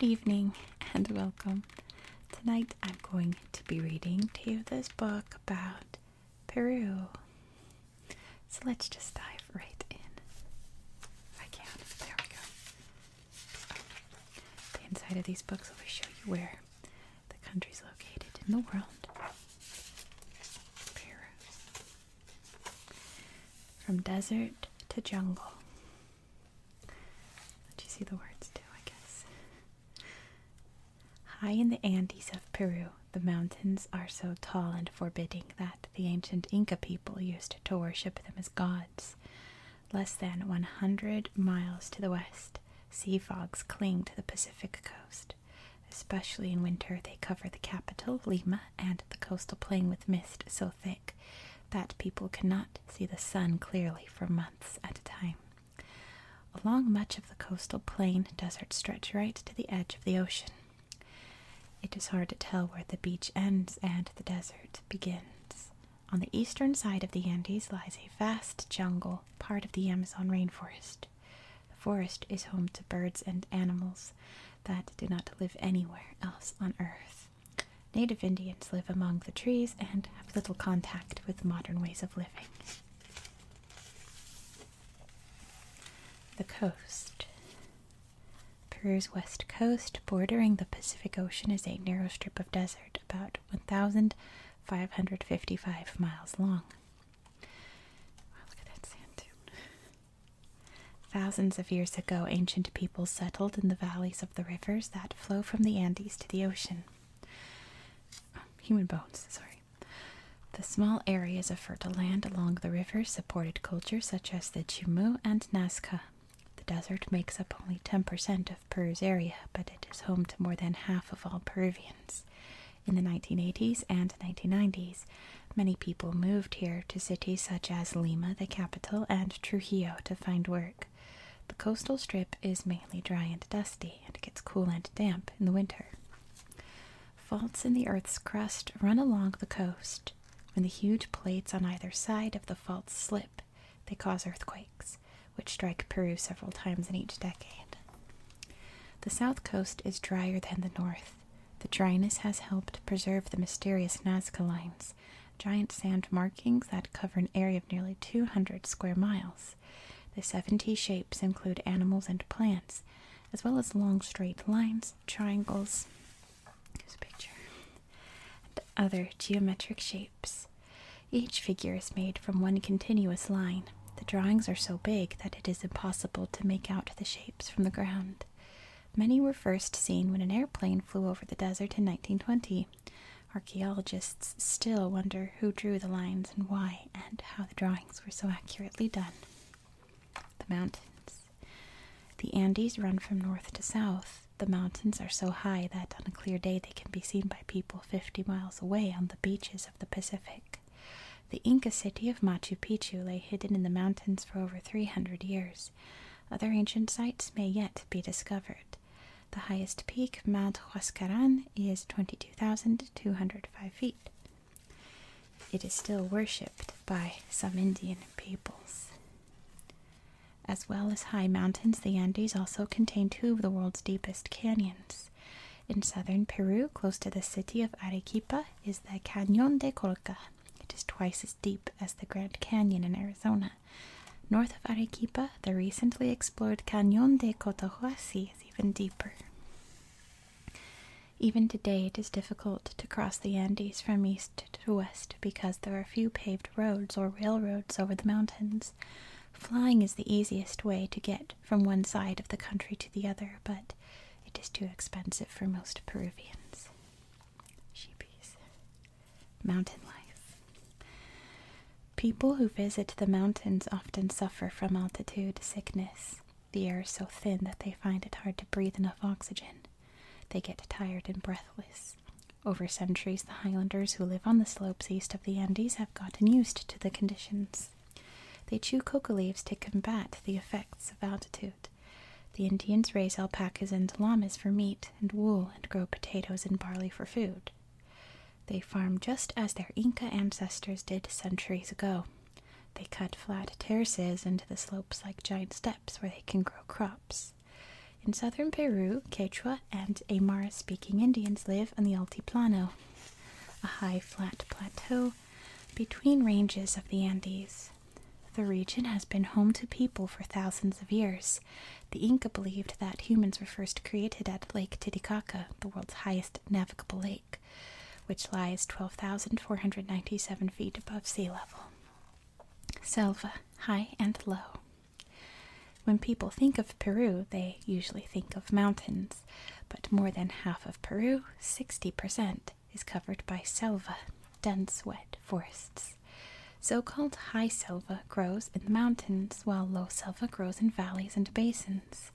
Good evening and welcome. Tonight I'm going to be reading to you this book about Peru. So let's just dive right in. I can, there we go. The inside of these books always show you where the country's located in the world. Peru. From desert to jungle. Let you see the words too, I guess. High in the Andes of Peru, the mountains are so tall and forbidding that the ancient Inca people used to worship them as gods less than 100 miles to the west, sea fogs cling to the Pacific coast. Especially in winter, they cover the capital, Lima, and the coastal plain with mist so thick that people cannot see the sun clearly for months at a time. Along much of the coastal plain, deserts stretch right to the edge of the ocean. It is hard to tell where the beach ends and the desert begins. On the eastern side of the Andes lies a vast jungle, part of the Amazon rainforest. The forest is home to birds and animals that do not live anywhere else on Earth. Native Indians live among the trees and have little contact with modern ways of living. The coast. Peru's west coast, bordering the Pacific Ocean, is a narrow strip of desert about 1,555 miles long. look at that sand dune. Thousands of years ago, ancient people settled in the valleys of the rivers that flow from the Andes to the ocean. human bones, sorry. The small areas of fertile land along the rivers supported cultures such as the Chimu and Nazca. The desert makes up only 10% of Peru's area, but it is home to more than half of all Peruvians. In the 1980s and 1990s, many people moved here to cities such as Lima, the capital, and Trujillo to find work. The coastal strip is mainly dry and dusty and gets cool and damp in the winter. Faults in the Earth's crust run along the coast. When the huge plates on either side of the faults slip, they cause earthquakes, which strike Peru several times in each decade. The south coast is drier than the north. The dryness has helped preserve the mysterious Nazca lines, giant sand markings that cover an area of nearly 200 square miles. The 70 shapes include animals and plants, as well as long straight lines, triangles, Here's a picture. And other geometric shapes. Each figure is made from one continuous line. The drawings are so big that it is impossible to make out the shapes from the ground. Many were first seen when an airplane flew over the desert in 1920. Archaeologists still wonder who drew the lines and why, and how the drawings were so accurately done. The mountains. The Andes run from north to south. The mountains are so high that on a clear day they can be seen by people 50 miles away on the beaches of the Pacific. The Inca city of Machu Picchu lay hidden in the mountains for over 300 years. Other ancient sites may yet be discovered. The highest peak, Mount Huascaran, is 22,205 feet. It is still worshipped by some Indian peoples. As well as high mountains, the Andes also contain two of the world's deepest canyons. In southern Peru, close to the city of Arequipa, is the Cañon de Colca. It is twice as deep as the Grand Canyon in Arizona. North of Arequipa, the recently explored Cañon de Cotahuasi is even deeper. Even today, it is difficult to cross the Andes from east east to west because there are few paved roads or railroads over the mountains. Flying is the easiest way to get from one side of the country to the other, but it is too expensive for most Peruvians. Sheepies. Mountain life. People who visit the mountains often suffer from altitude sickness. The air is so thin that they find it hard to breathe enough oxygen. They get tired and breathless. Over centuries, the Highlanders who live on the slopes east of the Andes have gotten used to the conditions. They chew coca leaves to combat the effects of altitude. The Indians raise alpacas and llamas for meat and wool and grow potatoes and barley for food. They farm just as their Inca ancestors did centuries ago. They cut flat terraces into the slopes like giant steps where they can grow crops. In southern Peru, Quechua and Aymara speaking Indians live on the Altiplano, a high flat plateau between ranges of the Andes. The region has been home to people for thousands of years. The Inca believed that humans were first created at Lake Titicaca, the world's highest navigable lake, which lies 12,497 feet above sea level. Selva, high and low. When people think of Peru, they usually think of mountains, but more than half of Peru, 60%, is covered by selva, dense wet forests. So called high selva grows in the mountains, while low selva grows in valleys and basins.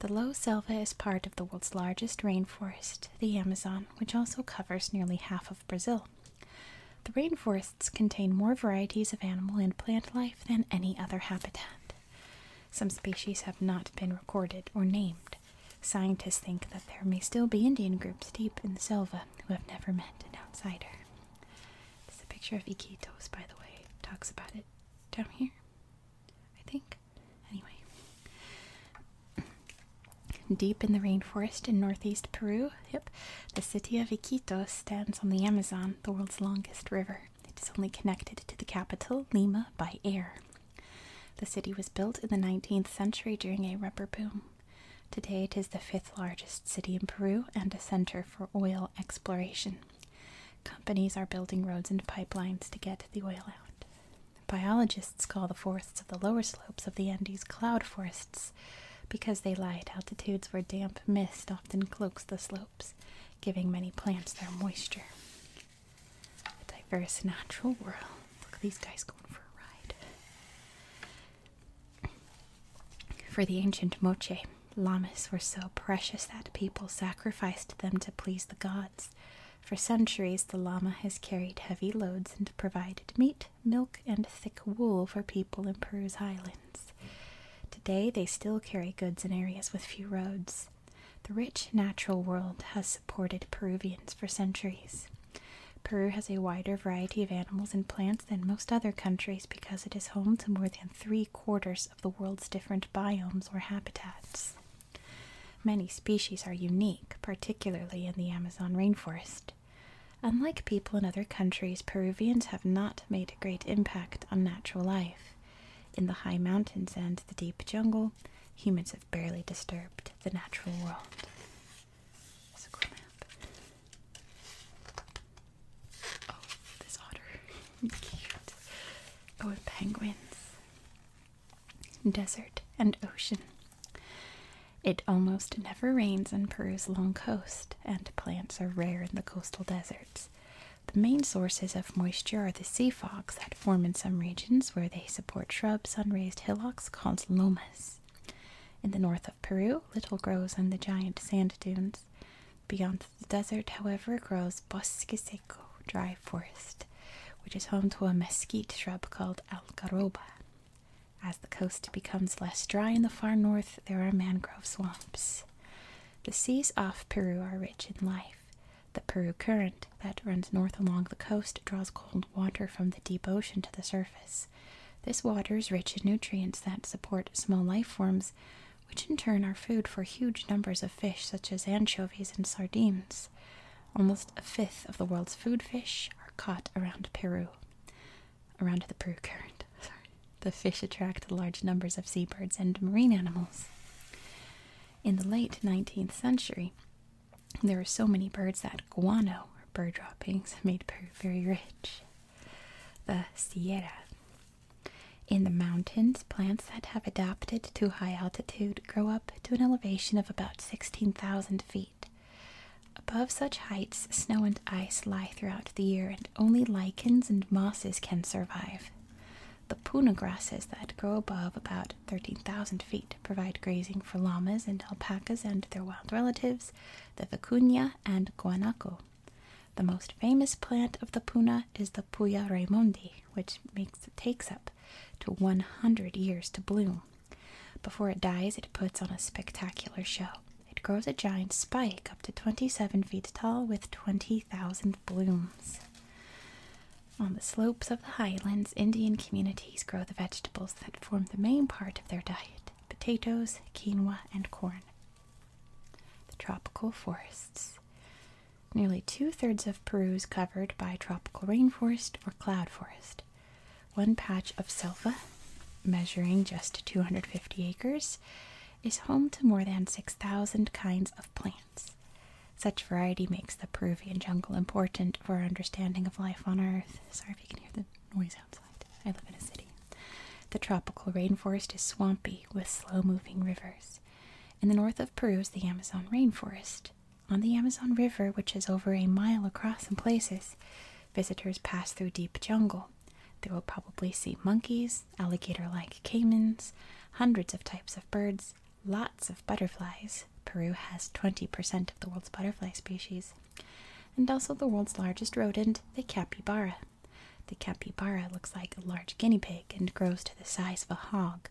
The low selva is part of the world's largest rainforest, the Amazon, which also covers nearly half of Brazil. The rainforests contain more varieties of animal and plant life than any other habitat. Some species have not been recorded or named. Scientists think that there may still be Indian groups deep in the selva who have never met an outsider. This a picture of Iquitos, by the way. talks about it down here, I think. Anyway. Deep in the rainforest in northeast Peru, Yep. The city of Iquitos stands on the Amazon, the world's longest river. It is only connected to the capital, Lima, by air. The city was built in the 19th century during a rubber boom. Today it is the fifth largest city in Peru and a center for oil exploration. Companies are building roads and pipelines to get the oil out. Biologists call the forests of the lower slopes of the Andes cloud forests because they lie at altitudes where damp mist often cloaks the slopes, giving many plants their moisture. A diverse natural world. Look at these guys going for a ride. For the ancient Moche, llamas were so precious that people sacrificed them to please the gods. For centuries, the llama has carried heavy loads and provided meat, milk, and thick wool for people in Peru's highlands. Today, they still carry goods in areas with few roads. The rich natural world has supported Peruvians for centuries. Peru has a wider variety of animals and plants than most other countries because it is home to more than three quarters of the world's different biomes or habitats. Many species are unique, particularly in the Amazon rainforest. Unlike people in other countries, Peruvians have not made a great impact on natural life. In the high mountains and the deep jungle, humans have barely disturbed the natural world. Oh, this otter. Oh, penguins. Desert and ocean. It almost never rains on Peru's long coast, and plants are rare in the coastal deserts. The main sources of moisture are the sea fogs that form in some regions where they support shrubs on raised hillocks called lomas. In the north of Peru, little grows on the giant sand dunes. Beyond the desert, however, grows bosque seco, dry forest, which is home to a mesquite shrub called alcaroba. As the coast becomes less dry in the far north, there are mangrove swamps. The seas off Peru are rich in life. The Peru Current, that runs north along the coast, draws cold water from the deep ocean to the surface. This water is rich in nutrients that support small life forms, which in turn are food for huge numbers of fish such as anchovies and sardines. Almost a fifth of the world's food fish are caught around Peru around the Peru Current. The fish attract large numbers of seabirds and marine animals. In the late 19th century, there were so many birds that guano, or bird droppings, made Peru very rich. The Sierra. In the mountains, plants that have adapted to high altitude grow up to an elevation of about 16,000 feet. Above such heights, snow and ice lie throughout the year, and only lichens and mosses can survive. The puna grasses that grow above about 13,000 feet provide grazing for llamas and alpacas and their wild relatives, the vicuña and guanaco. The most famous plant of the puna is the Puya Raimondi, which takes up to 100 years to bloom. Before it dies, it puts on a spectacular show. It grows a giant spike up to 27 feet tall with 20,000 blooms. On the slopes of the highlands, Indian communities grow the vegetables that form the main part of their diet potatoes, quinoa, and corn. The tropical forests. Nearly two thirds of Peru is covered by tropical rainforest or cloud forest. One patch of Selva, measuring just 250 acres, is home to more than 6,000 kinds of plants. Such variety makes the Peruvian jungle important for understanding of life on Earth. Sorry if you can hear the noise outside. I live in a city. The tropical rainforest is swampy with slow moving rivers. In the north of Peru is the Amazon rainforest. On the Amazon River, which is over a mile across in places, visitors pass through deep jungle. They will probably see monkeys, alligator like caimans, hundreds of types of birds, lots of butterflies. Peru has 20% of the world's butterfly species, and also the world's largest rodent, the capybara. The capybara looks like a large guinea pig and grows to the size of a hog,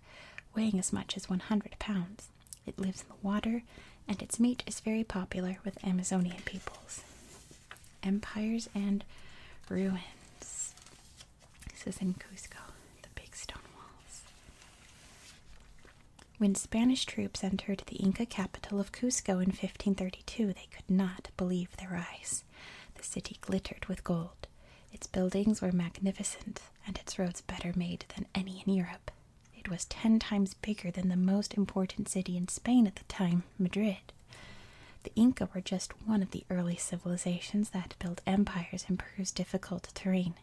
weighing as much as 100 pounds. It lives in the water, and its meat is very popular with Amazonian peoples. Empires and Ruins. This is in Cusco, the big stone walls. When Spanish troops entered the Inca capital of Cusco in 1532, they could not believe their eyes. The city glittered with gold. Its buildings were magnificent, and its roads better made than any in Europe. It was ten times bigger than the most important city in Spain at the time, Madrid. The Inca were just one of the early civilizations that built empires in Peru's difficult terrain.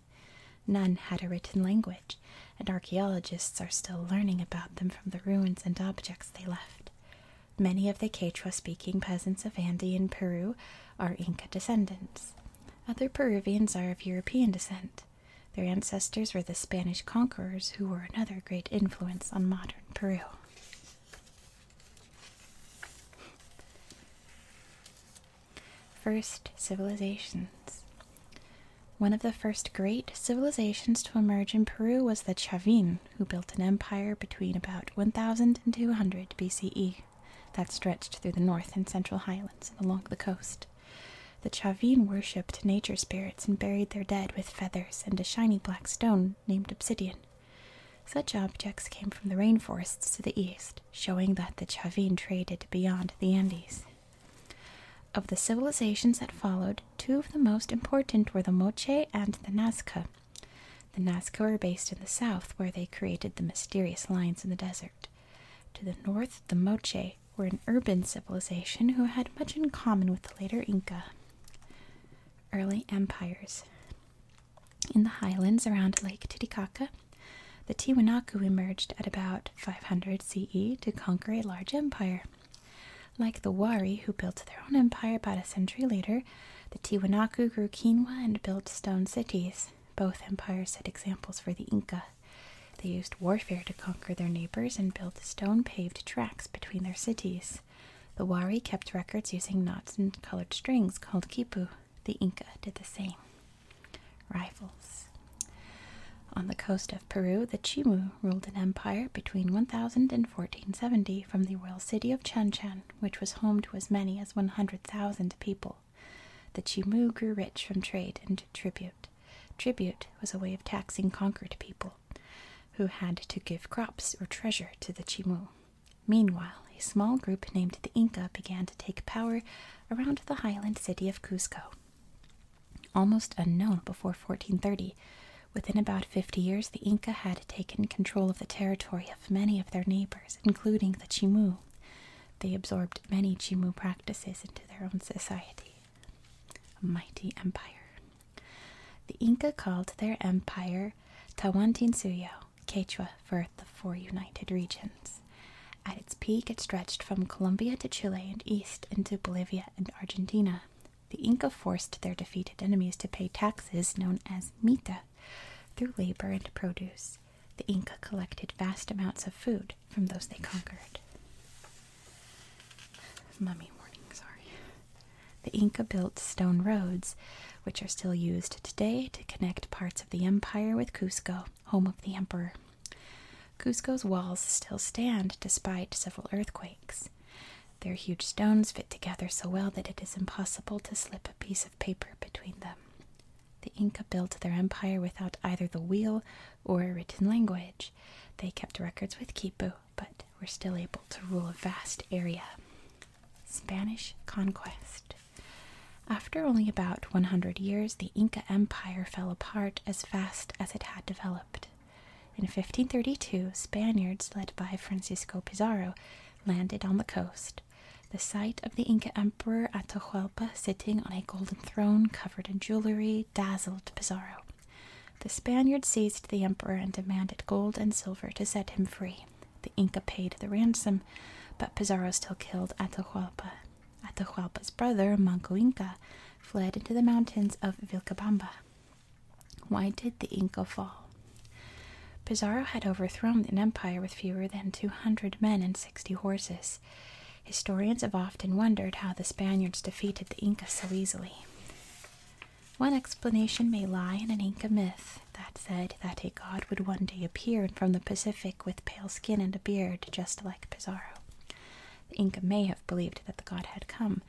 None had a written language, and archaeologists are still learning about them from the ruins and objects they left. Many of the Quechua speaking peasants of Andean Peru are Inca descendants. Other Peruvians are of European descent. Their ancestors were the Spanish conquerors, who were another great influence on modern Peru. First civilizations. One of the first great civilizations to emerge in Peru was the Chavin, who built an empire between about 1200 BCE that stretched through the north and central highlands and along the coast. The Chavin worshipped nature spirits and buried their dead with feathers and a shiny black stone named obsidian. Such objects came from the rainforests to the east, showing that the Chavin traded beyond the Andes. Of the civilizations that followed, two of the most important were the Moche and the Nazca. The Nazca were based in the south, where they created the mysterious lines in the desert. To the north, the Moche were an urban civilization who had much in common with the later Inca. Early empires. In the highlands around Lake Titicaca, the Tiwanaku emerged at about 500 CE to conquer a large empire. Like the Wari, who built their own empire about a century later, the Tiwanaku grew quinoa and built stone cities. Both empires set examples for the Inca. They used warfare to conquer their neighbors and built stone paved tracks between their cities. The Wari kept records using knots and colored strings called khipu. The Inca did the same. Rivals. On the coast of Peru, the Chimu ruled an empire between 1000 and 1470 from the royal city of Chanchan, which was home to as many as 100,000 people. The Chimu grew rich from trade and tribute. Tribute was a way of taxing conquered people who had to give crops or treasure to the Chimu. Meanwhile, a small group named the Inca began to take power around the highland city of Cuzco. Almost unknown before 1430, within about 50 years, the Inca had taken control of the territory of many of their neighbors, including the Chimu. They absorbed many Chimu practices into their own society. A mighty empire. The Inca called their empire Tawantinsuyo, Quechua for the Four United Regions. At its peak, it stretched from Colombia to Chile and east into Bolivia and Argentina. The Inca forced their defeated enemies to pay taxes known as mita through labor and produce. The Inca collected vast amounts of food from those they conquered. Mummy warning, sorry. The Inca built stone roads, which are still used today to connect parts of the empire with Cusco, home of the emperor. Cusco's walls still stand despite several earthquakes. Their huge stones fit together so well that it is impossible to slip a piece of paper between them. The Inca built their empire without either the wheel or a written language. They kept records with quipu, but were still able to rule a vast area. Spanish Conquest. After only about 100 years, the Inca Empire fell apart as fast as it had developed. In 1532, Spaniards led by Francisco Pizarro landed on the coast, the sight of the Inca Emperor Atahualpa sitting on a golden throne covered in jewelry dazzled Pizarro. The Spaniard seized the emperor and demanded gold and silver to set him free. The Inca paid the ransom, but Pizarro still killed Atahualpa. Atahualpa's brother, Manco Inca, fled into the mountains of Vilcabamba. Why did the Inca fall? Pizarro had overthrown an empire with fewer than 200 men and 60 horses. Historians have often wondered how the Spaniards defeated the Inca so easily. One explanation may lie in an Inca myth that said that a god would one day appear from the Pacific with pale skin and a beard, just like Pizarro. The Inca may have believed that the god had come,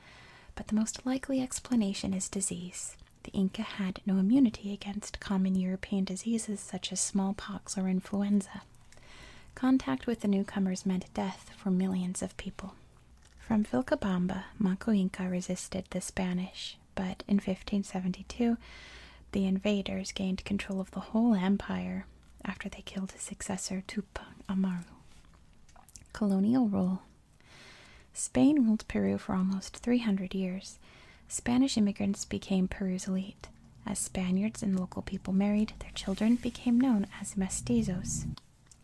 but the most likely explanation is disease. The Inca had no immunity against common European diseases such as smallpox or influenza. Contact with the newcomers meant death for millions of people. From Vilcabamba, Manco-Inca resisted the Spanish, but in 1572 the invaders gained control of the whole empire after they killed his successor Tupac Amaru. Colonial rule. Spain ruled Peru for almost 300 years. Spanish immigrants became Peru's elite. As Spaniards and local people married, their children became known as mestizos.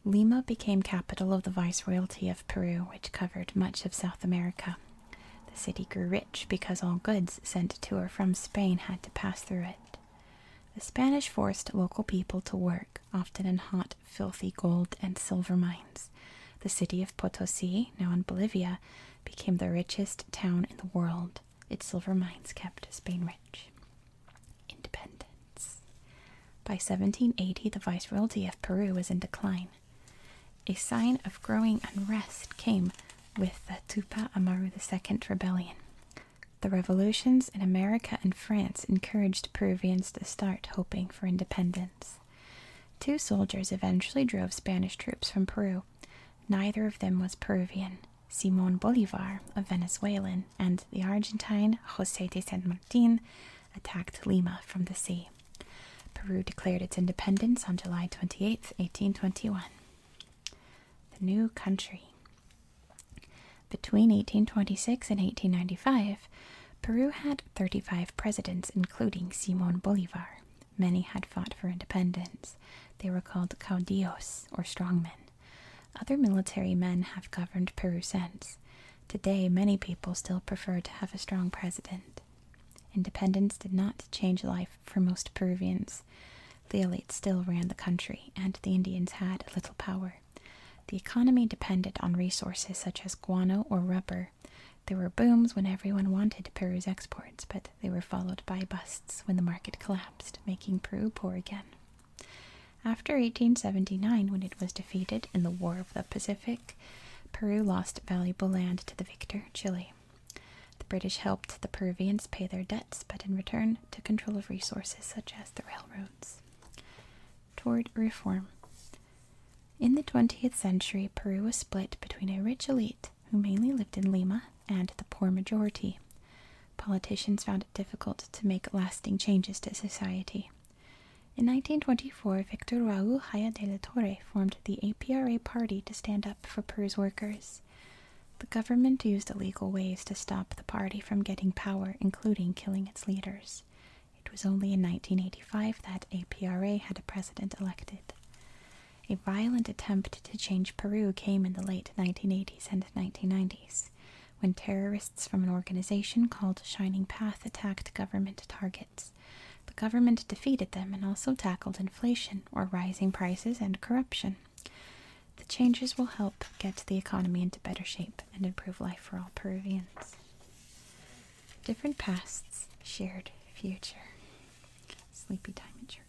Lima became capital of the Viceroyalty of Peru, which covered much of South America. The city grew rich because all goods sent to or from Spain had to pass through it. The Spanish forced local people to work, often in hot, filthy gold and silver mines. The city of Potosi, now in Bolivia, became the richest town in the world. Its silver mines kept Spain rich. Independence. By 1780, the Viceroyalty of Peru was in decline. A sign of growing unrest came with the Tupac Amaru II rebellion. The revolutions in America and France encouraged Peruvians to start hoping for independence. Two soldiers eventually drove Spanish troops from Peru. Neither of them was Peruvian. Simon Bolivar, a Venezuelan, and the Argentine Jose de San Martin attacked Lima from the sea. Peru declared its independence on July 28, 1821. The new country. Between 1826 and 1895, Peru had 35 presidents, including Simon Bolivar. Many had fought for independence. They were called caudillos, or strongmen. Other military men have governed Peru since. Today, many people still prefer to have a strong president. Independence did not change life for most Peruvians. The elite still ran the country, and the Indians had little power. The economy depended on resources such as guano or rubber. There were booms when everyone wanted Peru's exports, but they were followed by busts when the market collapsed, making Peru poor again. After 1879, when it was defeated in the War of the Pacific, Peru lost valuable land to the victor, Chile. The British helped the Peruvians pay their debts, but in return took control of resources such as the railroads. Toward reform. In the 20th century, Peru was split between a rich elite who mainly lived in Lima and the poor majority politicians found it difficult to make lasting changes to society. In 1924, Victor Raúl Jaya de la Torre formed the APRA party to stand up for Peru's workers. The government used illegal ways to stop the party from getting power, including killing its leaders. It was only in 1985 that APRA had a president elected. A violent attempt to change Peru came in the late 1980s and 1990s when terrorists from an organization called Shining Path attacked government targets. The government defeated them and also tackled inflation, or rising prices, and corruption. The changes will help get the economy into better shape and improve life for all Peruvians. Different pasts, shared future. Sleepy time in church.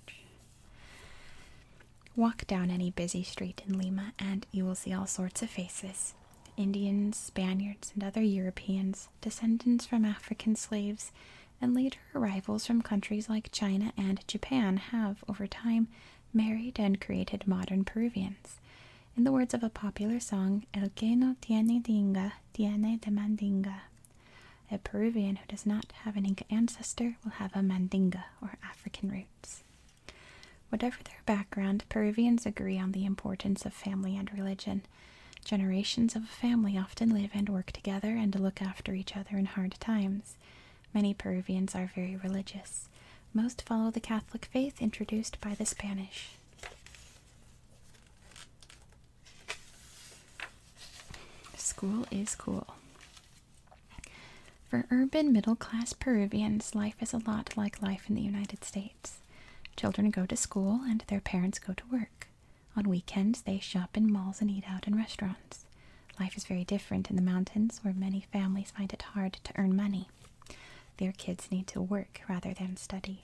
Walk down any busy street in Lima and you will see all sorts of faces. Indians, Spaniards, and other Europeans, descendants from African slaves, and later arrivals from countries like China and Japan have, over time, married and created modern Peruvians. In the words of a popular song, El que no tiene dinga, tiene de mandinga. A Peruvian who does not have an Inca ancestor will have a mandinga, or African roots. Whatever their background, Peruvians agree on the importance of family and religion. Generations of a family often live and work together and look after each other in hard times. Many Peruvians are very religious. Most follow the Catholic faith introduced by the Spanish. School is cool. For urban middle class Peruvians, life is a lot like life in the United States. Children go to school and their parents go to work. On weekends, they shop in malls and eat out in restaurants. Life is very different in the mountains where many families find it hard to earn money. Their kids need to work rather than study.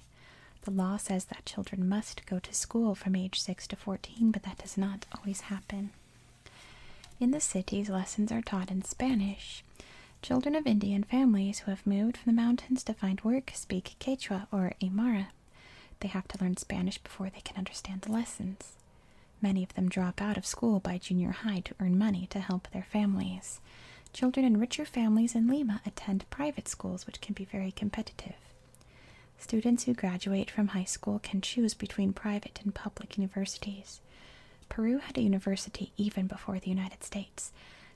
The law says that children must go to school from age 6 to 14, but that does not always happen. In the cities, lessons are taught in Spanish. Children of Indian families who have moved from the mountains to find work speak Quechua or Aymara. They have to learn Spanish before they can understand the lessons. Many of them drop out of school by junior high to earn money to help their families. Children in richer families in Lima attend private schools, which can be very competitive. Students who graduate from high school can choose between private and public universities. Peru had a university even before the United States.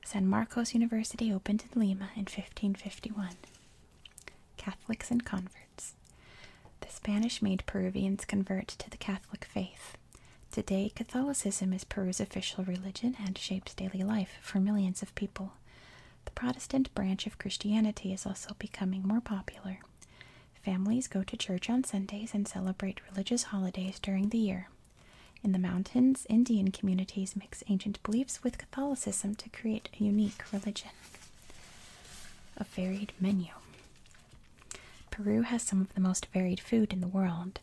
San Marcos University opened in Lima in 1551. Catholics and converts. The Spanish made Peruvians convert to the Catholic faith. Today, Catholicism is Peru's official religion and shapes daily life for millions of people. The Protestant branch of Christianity is also becoming more popular. Families go to church on Sundays and celebrate religious holidays during the year. In the mountains, Indian communities mix ancient beliefs with Catholicism to create a unique religion. A varied menu. Peru has some of the most varied food in the world.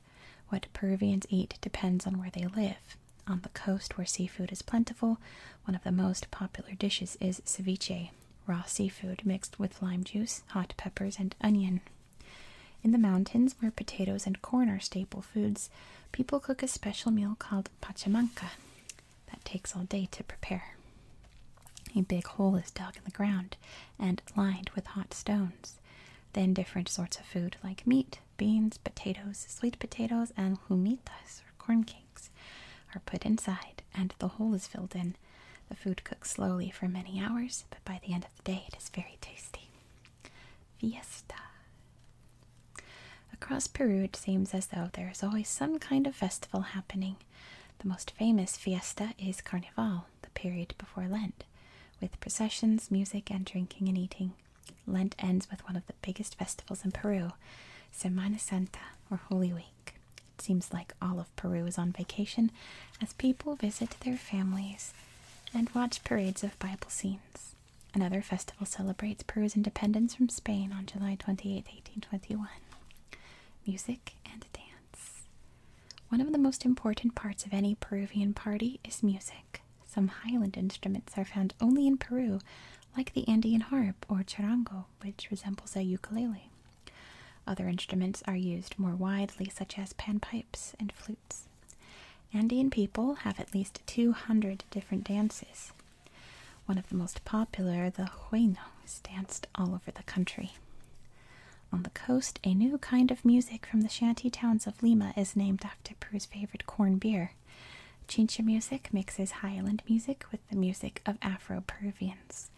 What Peruvians eat depends on where they live. On the coast, where seafood is plentiful, one of the most popular dishes is ceviche, raw seafood mixed with lime juice, hot peppers, and onion. In the mountains, where potatoes and corn are staple foods, people cook a special meal called pachamanca that takes all day to prepare. A big hole is dug in the ground and lined with hot stones. Then different sorts of food like meat, beans, potatoes, sweet potatoes, and humitas or corn cakes are put inside and the hole is filled in. The food cooks slowly for many hours, but by the end of of day, it is very tasty. Fiesta. Across Peru, it seems as though there is always some kind of festival happening. The most famous fiesta is Carnival, the period before Lent, with processions, music, and drinking and eating. Lent ends with one of the biggest festivals in Peru, Semana Santa, or Holy Week. It seems like all of. Peru is on vacation as people visit their families and watch parades of Bible scenes. Another festival celebrates Peru's independence from Spain on July 28, 1821. Music and dance. One of the most important parts of any Peruvian party is music. Some highland instruments are found only in Peru, like the Andean harp or charango, which resembles a ukulele. Other instruments are used more widely, such as panpipe, and flutes. Andean people have at least 200 different dances. One of the most popular, the hueno, is danced all over the country. On the coast, a new kind of music from the shanty towns of Lima is named after Peru's favorite corn beer. Chincha music mixes highland music with the music of Afro Peruvians.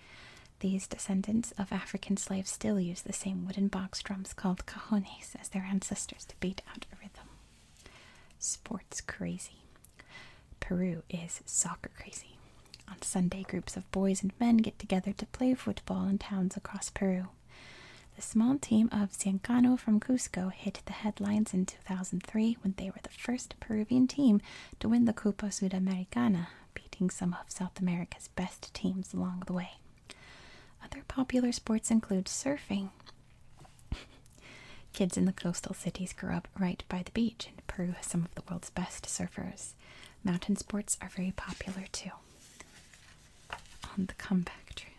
These descendants of African slaves still use the same wooden box drums called cajones as their ancestors to beat out a rhythm. Sports crazy. Peru is soccer crazy. On Sunday, groups of boys and men get together to play football in towns across Peru. The small team of Ciencano from Cusco hit the headlines in 2003 when they were the first Peruvian team to win the Copa Sudamericana, beating some of South America's best teams along the way. Other popular sports include surfing. Kids in the coastal cities grow up right by the beach, and Peru has some of the world's best surfers. Mountain sports are very popular too. On the comeback trail.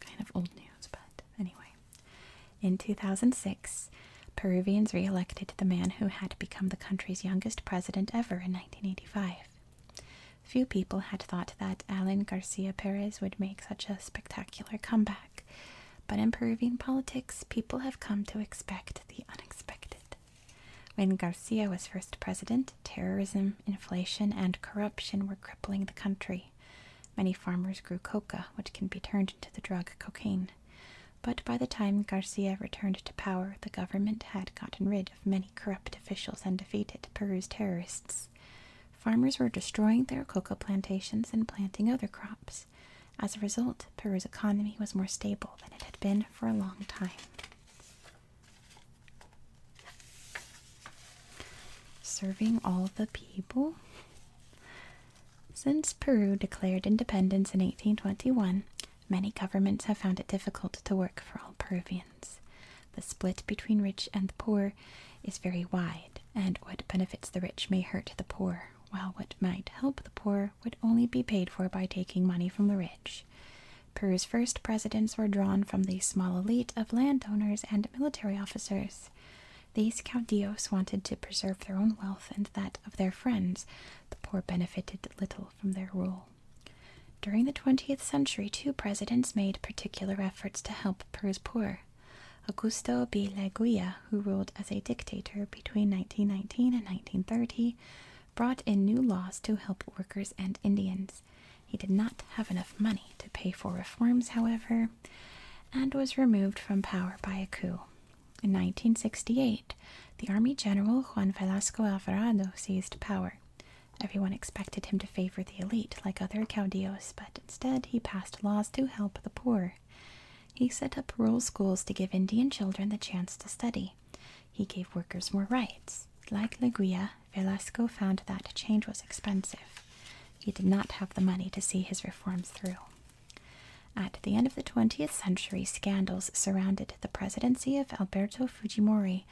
Kind of old news, but anyway. In 2006, Peruvians re elected the man who had become the country's youngest president ever in 1985. Few people had thought that Alan Garcia Perez would make such a spectacular comeback, but in Peruvian politics, people have come to expect the unexpected. When Garcia was first president, terrorism, inflation, and corruption were crippling the country. Many farmers grew coca, which can be turned into the drug cocaine. But by the time Garcia returned to power, the government had gotten rid of many corrupt officials and defeated Peru's terrorists. Farmers were destroying their coca plantations and planting other crops. As a result, Peru's economy was more stable than it had been for a long time. Serving all the people? Since Peru declared independence in 1821, Many governments have found it difficult to work for all Peruvians. The split between rich and the poor is very wide, and what benefits the rich may hurt the poor, while what might help the poor would only be paid for by taking money from the rich. Peru's first presidents were drawn from the small elite of landowners and military officers. These caudillos wanted to preserve their own wealth and that of their friends. The poor benefited little from their rule. During the 20th century, two presidents made particular efforts to help Peru's poor. Augusto B. Leguia, who ruled as a dictator between 1919 and 1930, brought in new laws to help workers and Indians. He did not have enough money to pay for reforms, however, and was removed from power by a coup. In 1968, the army general Juan Velasco Alvarado seized power. Everyone expected him to favor the elite like other caudillos, but instead he passed laws to help the poor. He set up rural schools to give Indian children the chance to study. He gave workers more rights. Like Leguia, Velasco found that change was expensive. He did not have the money to see his reforms through. At the end of the 20th century, scandals surrounded the presidency of Alberto Fujimori,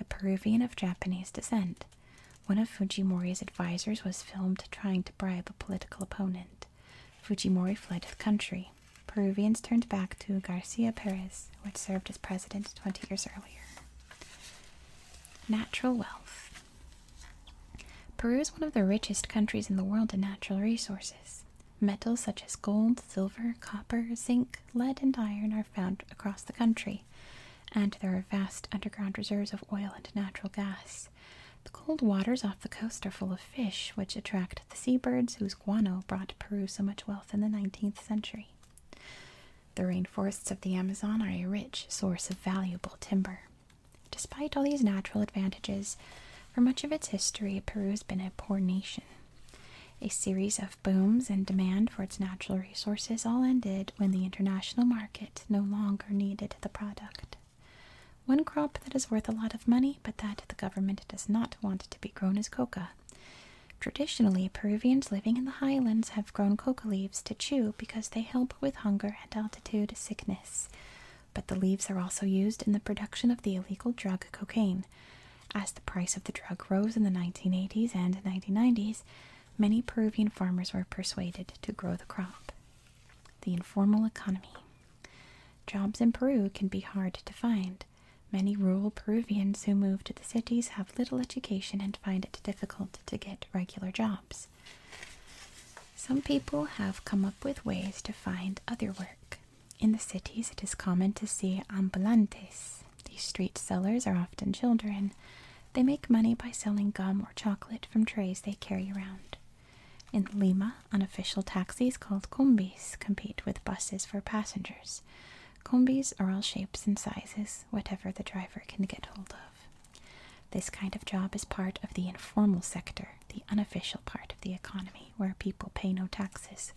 a Peruvian of Japanese descent. One of Fujimori's advisers was filmed trying to bribe a political opponent. Fujimori fled the country. Peruvians turned back to Garcia Perez, who had served as president 20 years earlier. Natural wealth. Peru is one of the richest countries in the world in natural resources. Metals such as gold, silver, copper, zinc, lead, and iron are found across the country, and there are vast underground reserves of oil and natural gas. The cold waters off the coast are full of fish, which attract the sea birds, whose guano brought Peru so much wealth in the 19th century. The rainforests of the Amazon are a rich source of valuable timber. Despite all these natural advantages, for much of its history, Peru has been a poor nation. A series of booms and demand for its natural resources all ended when the international market no longer needed the product. One crop that is worth a lot of money but that the government does not want to be grown is coca. Traditionally, Peruvians living in the highlands have grown coca leaves to chew because they help with hunger and altitude sickness. But the leaves are also used in the production of the illegal drug cocaine. As the price of the drug rose in the 1980s and 1990s, many Peruvian farmers were persuaded to grow the crop. The informal economy. Jobs in Peru can be hard to find. Many rural Peruvians who move to the cities have little education and find it difficult to get regular jobs. Some people have come up with ways to find other work. In the cities, it is common to see ambulantes. These street sellers are often children. They make money by selling gum or chocolate from trays they carry around. In Lima, unofficial taxis called combis compete with buses for passengers. Combis are all shapes and sizes, whatever the driver can get hold of. This kind of job is part of the informal sector, the unofficial part of the economy, where people pay no taxes.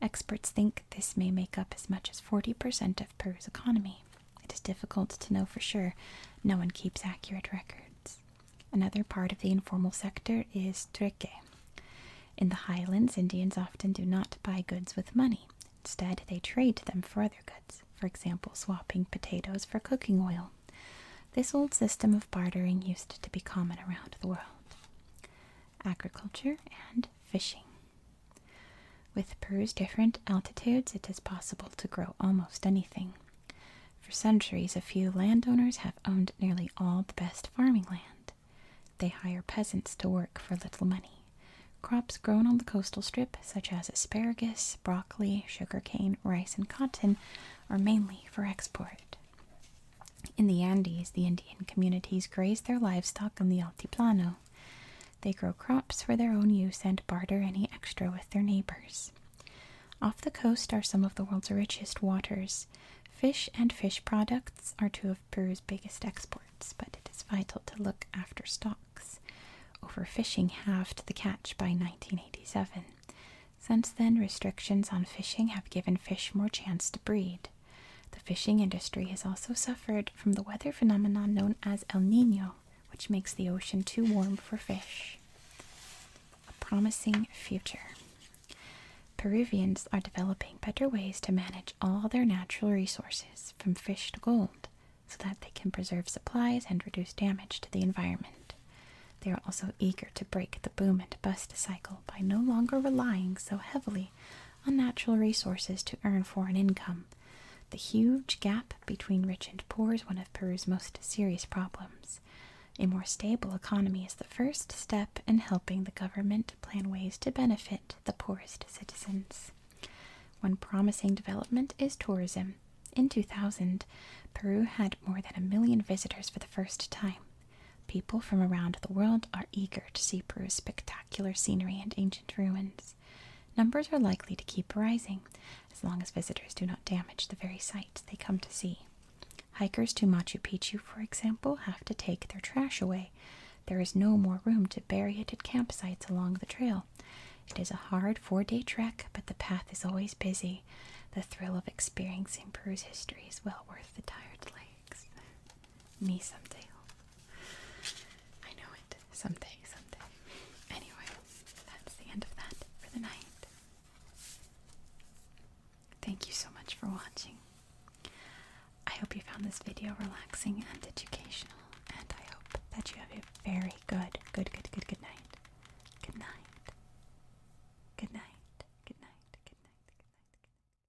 Experts think this may make up as much as 40% of Peru's economy. It is difficult to know for sure. No one keeps accurate records. Another part of the informal sector is trueque. In the highlands, Indians often do not buy goods with money. Instead, they trade them for other goods, for example, swapping potatoes for cooking oil. This old system of bartering used to be common around the world agriculture, and fishing. With Peru's different altitudes, it is possible to grow almost anything. For centuries, a few landowners have owned nearly all the best farming land. They hire peasants to work for little money. Crops grown on the coastal strip, such as asparagus, broccoli, sugar cane, rice, and cotton, are mainly for export. In the Andes, the Indian communities graze their livestock on the Altiplano. They grow crops for their own use and barter any extra with their neighbors. Off the coast are some of the world's richest waters. Fish and fish products are two of Peru's biggest exports, but it is vital to look after stocks. Overfishing halved the catch by 1987. Since then, restrictions on fishing have given fish more chance to breed. The fishing industry has also suffered from the weather phenomenon known as El Nino, which makes the ocean too warm for fish. A promising future. Peruvians are developing better ways to manage all their natural resources, from fish to gold, so that they can preserve supplies and reduce damage to the environment. They are also eager to break the boom and bust cycle by no longer relying so heavily on natural resources to earn foreign income. The huge gap between rich and poor is one of Peru's most serious problems. A more stable economy is the first step in helping the government plan ways to benefit the poorest citizens. One promising development is tourism. In 2000, Peru had more than a million visitors for the first time. People from around the world are eager to see Peru's spectacular scenery and ancient ruins. Numbers are likely to keep rising as long as visitors do not damage the very sights they come to see. Hikers to Machu Picchu, for example, have to take their trash away. There is no more room to bury it at campsites along the trail. It is a hard four day trek, but the path is always busy. The thrill of experiencing Peru's history is well worth the tired legs. Me someday. I know it. Someday, someday. Anyway, that's the end of that for the night. Thank you so much for watching. I hope you found this video relaxing and educational, and I hope that you have a very good, good, good, good, good night. Good night. Good night. Good night. Good night. Good night. Good night.